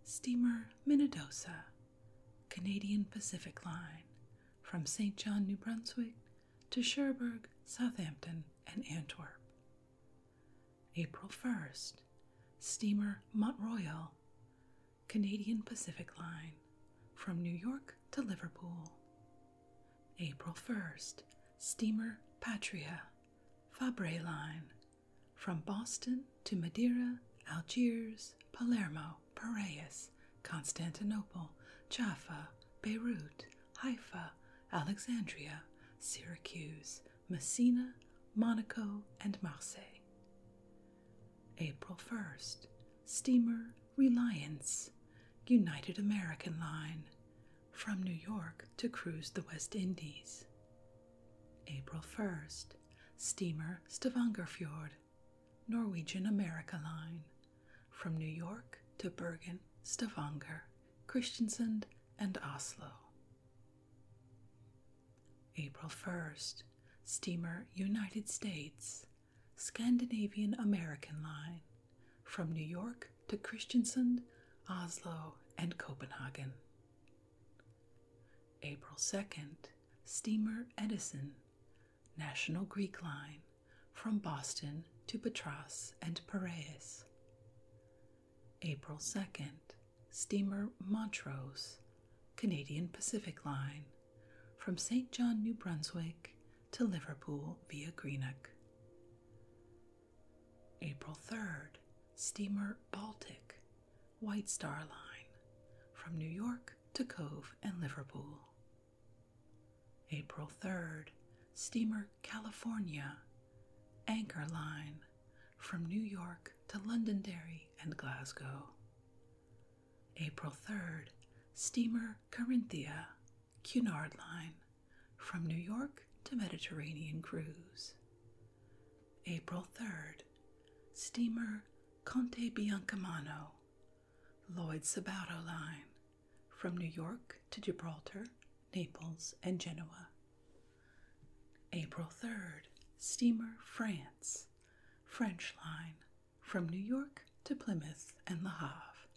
steamer Minnedosa, Canadian Pacific Line, from St. John, New Brunswick to Cherbourg, Southampton, and Antwerp. April 1st, steamer Mont Royal, Canadian Pacific Line, from New York to Liverpool. April 1st, steamer Patria, Fabre Line, from Boston to Madeira, Algiers, Palermo, Piraeus, Constantinople, Jaffa, Beirut, Haifa, Alexandria, Syracuse, Messina, Monaco, and Marseille. April 1st, steamer Reliance, United American Line, from New York to cruise the West Indies. April 1st, steamer Stavangerfjord, Norwegian America Line, from New York to Bergen, Stavanger, Christiansand, and Oslo. April 1st, steamer United States, Scandinavian American Line, from New York to Christiansand, Oslo, and Copenhagen. April 2nd, steamer Edison, National Greek Line, from Boston to Patras and Piraeus. April 2nd, steamer Montrose, Canadian Pacific Line, from St. John, New Brunswick to Liverpool via Greenock. April 3rd, steamer Baltic, White Star Line, from New York to Cove and Liverpool. April 3rd, steamer California, Anchor Line, from New York to Londonderry and Glasgow. April 3rd, steamer Corinthia, Cunard Line, from New York to Mediterranean Cruise. April 3rd, steamer Conte Biancamano, Lloyd Sabato Line, from New York to Gibraltar, Naples, and Genoa. April 3rd, steamer France, French Line, from New York to Plymouth and La Havre.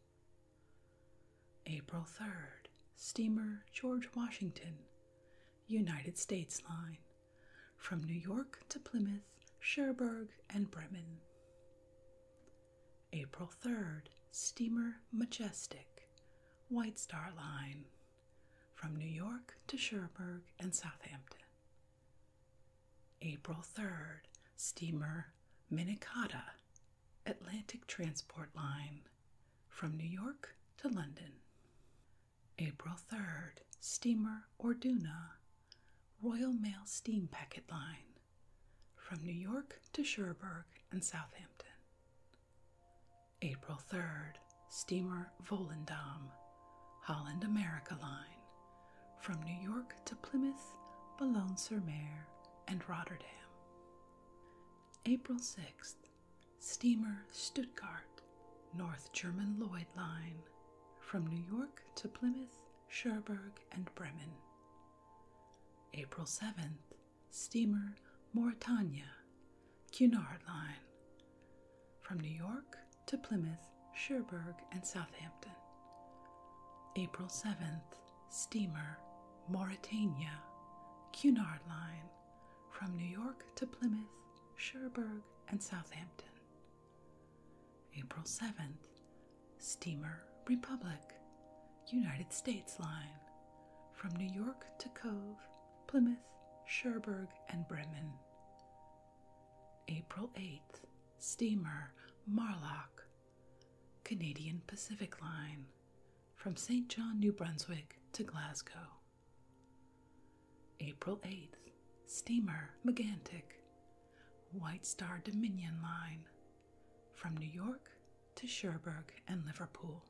April 3rd, steamer George Washington, United States line from New York to Plymouth, Cherbourg, and Bremen. April 3rd, steamer Majestic, White Star Line from New York to Cherbourg and Southampton. April 3rd, steamer Minnetonka, Atlantic Transport Line from New York to London. April 3rd, steamer Orduna, Royal Mail Steam Packet Line, from New York to Cherbourg and Southampton. April 3rd, steamer Volendam, Holland America Line, from New York to Plymouth, Boulogne-sur-Mer, and Rotterdam. April 6th, Steamer Stuttgart, North German Lloyd Line, from New York to Plymouth, Cherbourg, and Bremen. April 7th, Steamer Mauretania, Cunard Line, from New York to Plymouth, Cherbourg, and Southampton. April 7th, Steamer Mauretania, Cunard Line, from New York to Plymouth, Cherbourg, and Southampton. April 7th, steamer Republic, United States Line, from New York to Cove, Plymouth, Cherbourg, and Bremen. April 8th, steamer Marlock, Canadian Pacific Line, from St. John, New Brunswick to Glasgow. April 8th, steamer Megantic, White Star Dominion Line, from New York to Cherbourg and Liverpool.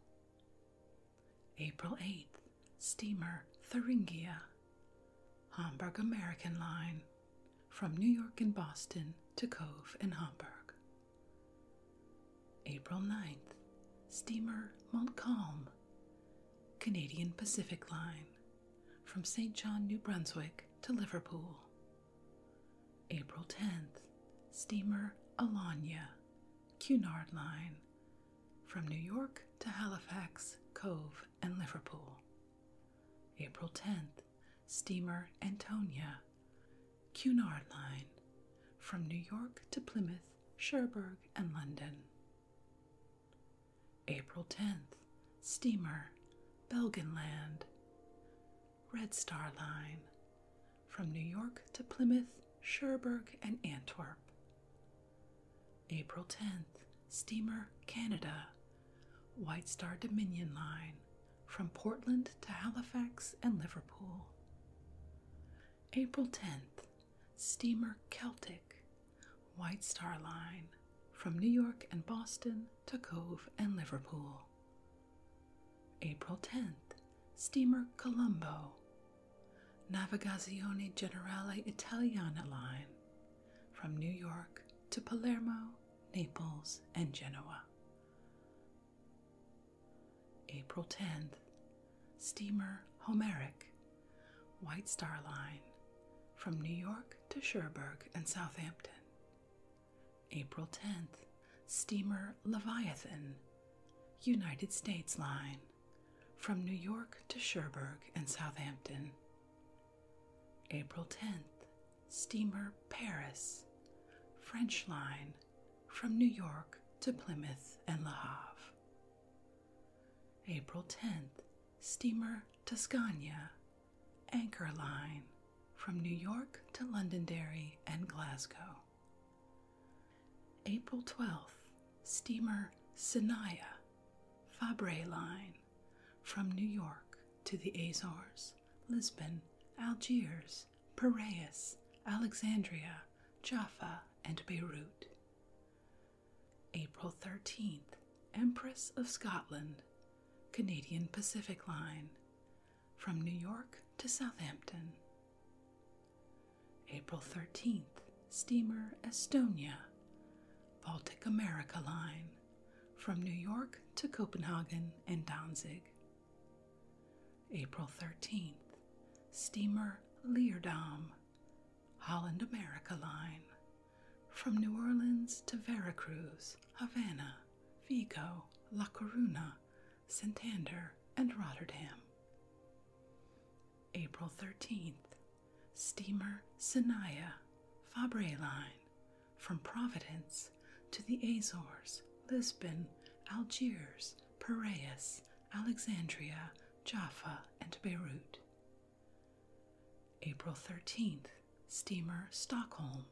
April 8th, steamer Thuringia, Hamburg American Line, from New York and Boston to Cove and Hamburg. April 9th, steamer Montcalm, Canadian Pacific Line, from St. John, New Brunswick to Liverpool. April 10th, steamer Alania, Cunard Line, from New York to Halifax, Cove, and Liverpool. April 10th, steamer Antonia, Cunard Line, from New York to Plymouth Perth, and London. April 10th, steamer Belgenland, Red Star Line, from New York to Plymouth, Cherbourg, and Antwerp. April 10th, steamer Canada, White Star Dominion Line, from Portland to Halifax and Liverpool. April 10th, steamer Celtic, White Star Line, from New York and Boston to Cove and Liverpool. April 10th, steamer Colombo, Navigazione Generale Italiana Line, from New York to Palermo, Naples, and Genoa. April 10th, steamer Homeric, White Star Line, from New York to Cherbourg and Southampton. April 10th, steamer Leviathan, United States Line, from New York to Cherbourg and Southampton. April 10th, steamer Paris, French Line, from New York to Plymouth and La Havre. April 10th, steamer Tuscania, anchor line from New York to Londonderry and Glasgow. April 12th, steamer Sinaya, Fabre line from New York to the Azores, Lisbon, Algiers, Piraeus, Alexandria, Jaffa, and Beirut. April 13th, Empress of Scotland, Canadian Pacific Line, from New York to Southampton. April 13th, Steamer Estonia, Baltic America Line, from New York to Copenhagen and Danzig. April 13th, steamer Leerdam, Holland America Line, from New Orleans to Veracruz, Havana, Vigo, La Coruna, Santander, and Rotterdam. April 13th, steamer Sinaya, Fabre Line, from Providence to the Azores, Lisbon, Algiers, Piraeus, Alexandria, Jaffa, and Beirut. April 13th, steamer Stockholm,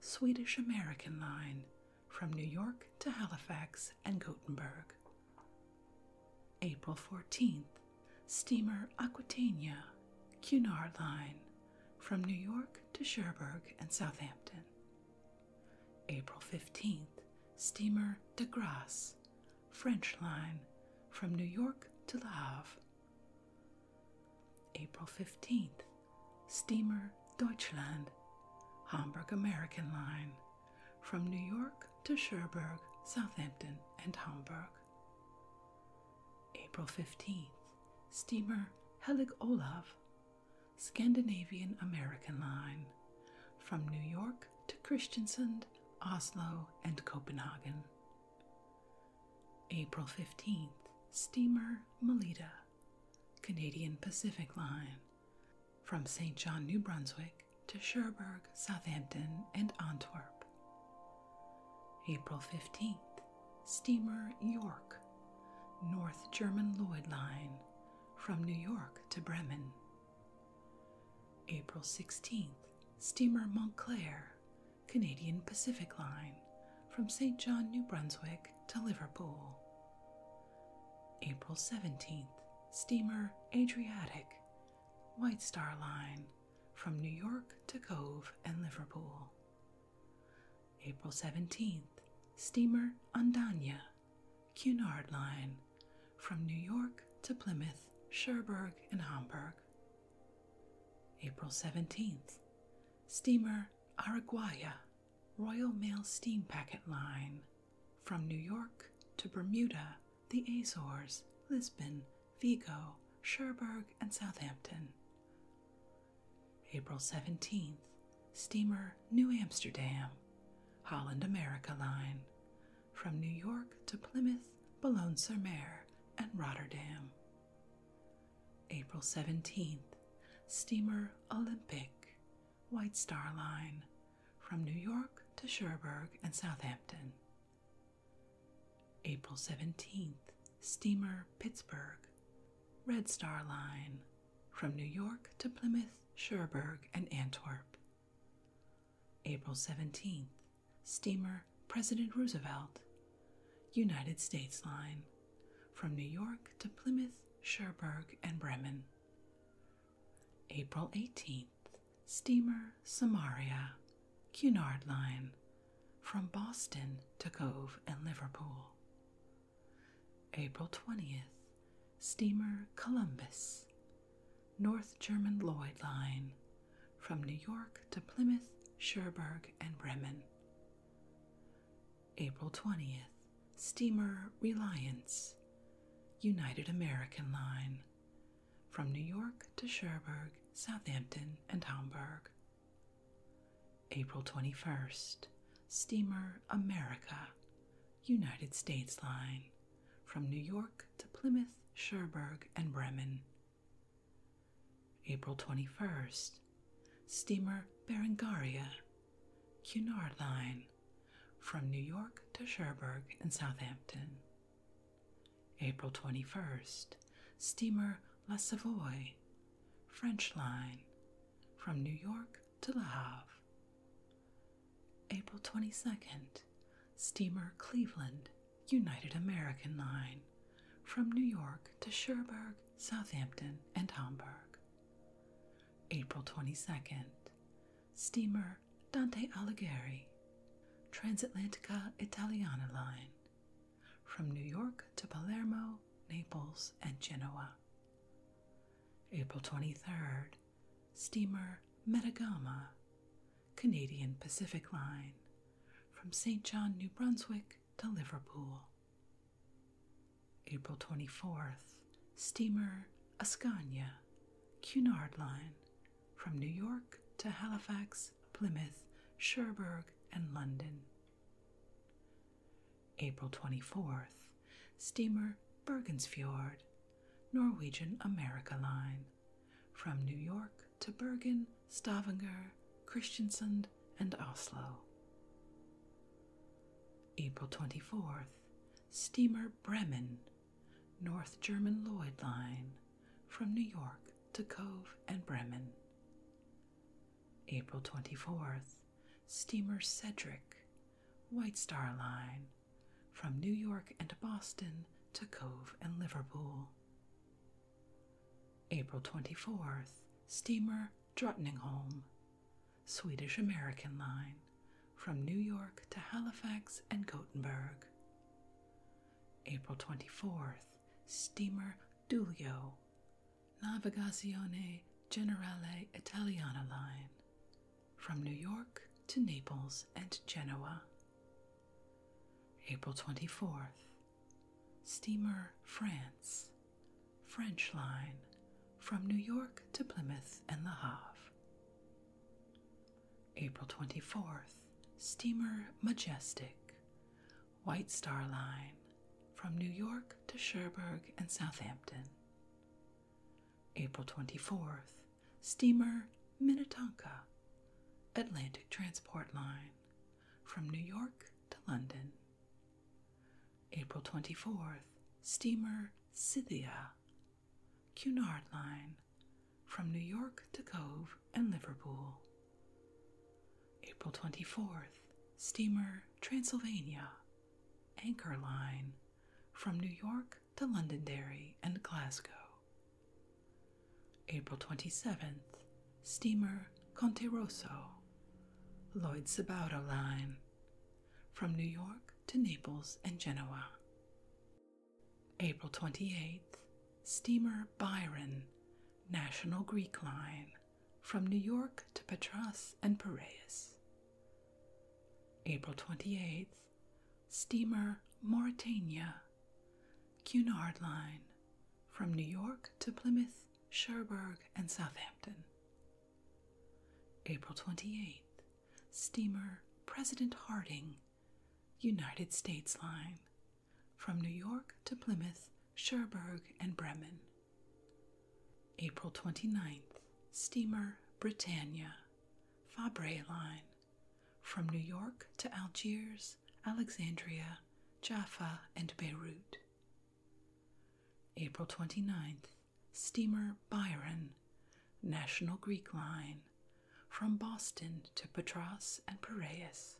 Swedish American Line, from New York to Halifax and Gothenburg. April 14th, steamer Aquitania, Cunard Line, from New York to Cherbourg and Southampton. April 15, steamer De Grasse, French line, from New York to La Havre. April 15, steamer Deutschland, Hamburg American line, from New York to Cherbourg, Southampton, and Hamburg. April 15, steamer Helig Olav, Scandinavian American line from New York to Christiansand, Oslo, and Copenhagen. April 15th, steamer Melita, Canadian Pacific Line from St. John, New Brunswick to Cherbourg, Southampton, and Antwerp. April 15th, steamer York, North German Lloyd Line from New York to Bremen. April 16th, steamer Montclair, Canadian Pacific Line, from St. John, New Brunswick to Liverpool. April 17th, steamer Adriatic, White Star Line, from New York to Cove and Liverpool. April 17th, steamer Andania, Cunard Line from New York to Plymouth, Cherbourg, and Hamburg. April 17th, steamer Araguaya, Royal Mail Steam Packet Line from New York to Bermuda, the Azores, Lisbon, Vigo, Cherbourg, and Southampton. April 17th, steamer New Amsterdam Holland America Line, from New York to Plymouth, Boulogne sur Mer, and Rotterdam. April 17th, steamer Olympic, White Star Line, from New York to Cherbourg and Southampton. April 17th, steamer Pittsburgh, Red Star Line, from New York to Plymouth, Cherbourg, and Antwerp. April 17th, steamer President Roosevelt, United States Line, from New York to Plymouth, Cherbourg, and Bremen. April 18th, steamer Samaria, Cunard Line, from Boston to Cove and Liverpool. April 20th, steamer Columbus, North German Lloyd Line, from New York to Plymouth, Cherbourg, and Bremen. April 20th, steamer Reliance, United American Line, from New York to Cherbourg, Southampton, and Hamburg. April 21st, steamer America, United States Line, from New York to Plymouth, Cherbourg, and Bremen. April 21st, steamer Berengaria, Cunard Line, from New York to Cherbourg and Southampton. April 21st, steamer La Savoie, French Line, from New York to La Havre, April 22nd, steamer Cleveland, United American Line, from New York to Cherbourg, Southampton, and Hamburg. April 22nd, steamer Dante Alighieri, Transatlantica Italiana Line, from New York to Palermo, Naples, and Genoa. April 23rd, steamer Metagama, Canadian Pacific Line, from St. John, New Brunswick to Liverpool. April 24th, steamer Ascania, Cunard Line, from New York to Halifax, Plymouth, Cherbourg, and London. April 24th, steamer Bergensfjord, Norwegian America Line, from New York to Bergen, Stavanger, Kristiansand, and Oslo. April 24th, steamer Bremen, North German Lloyd Line, from New York to Cove and Bremen. April 24th, steamer Cedric, White Star Line, from New York and Boston to Cove and Liverpool. April 24th, steamer Drottningholm, Swedish American Line, from New York to Halifax and Gothenburg. April 24th, steamer Dulio, Navigazione Generale Italiana Line, from New York to Naples and Genoa. April 24th, steamer France, French line, from New York to Plymouth and La Havre. April 24th, steamer Majestic, White Star Line, from New York to Cherbourg and Southampton. April 24th, steamer Minnetonka Atlantic Transport Line from New York to London. April 24th, steamer Scythia Cunard Line from New York to Cove and Liverpool. April 24th, steamer Transylvania Anchor Line from New York to Londonderry and Glasgow. April 27th, steamer Conte Rosso, Lloyd Sabauda Line, from New York to Naples and Genoa. April 28th, steamer Byron, National Greek Line, from New York to Patras and Piraeus. April 28th, steamer Mauritania, Cunard Line, from New York to Plymouth, Cherbourg, and Southampton. April 28th, steamer President Harding, United States Line, from New York to Plymouth, Cherbourg, and Bremen. April 29th, steamer Britannia, Fabre line from New York to Algiers, Alexandria, Jaffa, and Beirut. April 29th, steamer Byron, National Greek Line from Boston to Patras and Piraeus.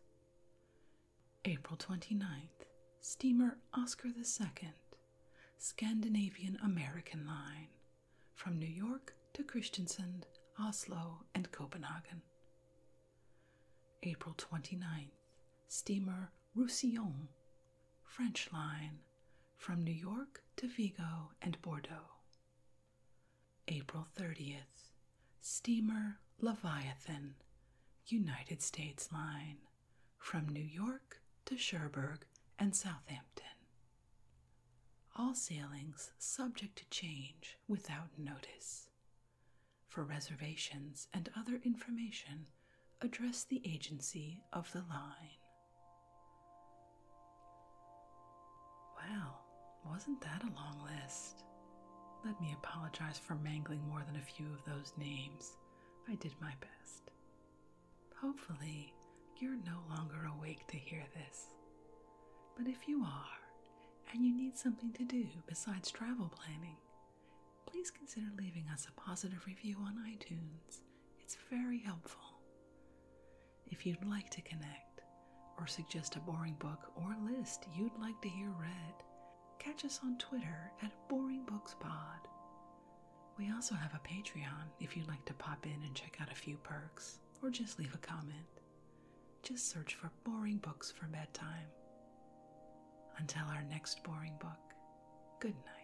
April 29th, steamer Oscar II, Scandinavian American Line from New York to Christiansand, Oslo, and Copenhagen. April 29th, steamer Roussillon, French line, from New York to Vigo and Bordeaux. April 30th, steamer Leviathan, United States line, from New York to Cherbourg and Southampton. All sailings subject to change without notice. For reservations and other information, address the agency of the line. Well, wasn't that a long list? Let me apologize for mangling more than a few of those names. I did my best. Hopefully, you're no longer awake to hear this. But if you are, and you need something to do besides travel planning, please consider leaving us a positive review on iTunes. It's very helpful. If you'd like to connect, or suggest a boring book or list you'd like to hear read, catch us on Twitter at BoringBooksPod. We also have a Patreon if you'd like to pop in and check out a few perks or just leave a comment. Just search for boring books for bedtime. Until our next boring book, good night.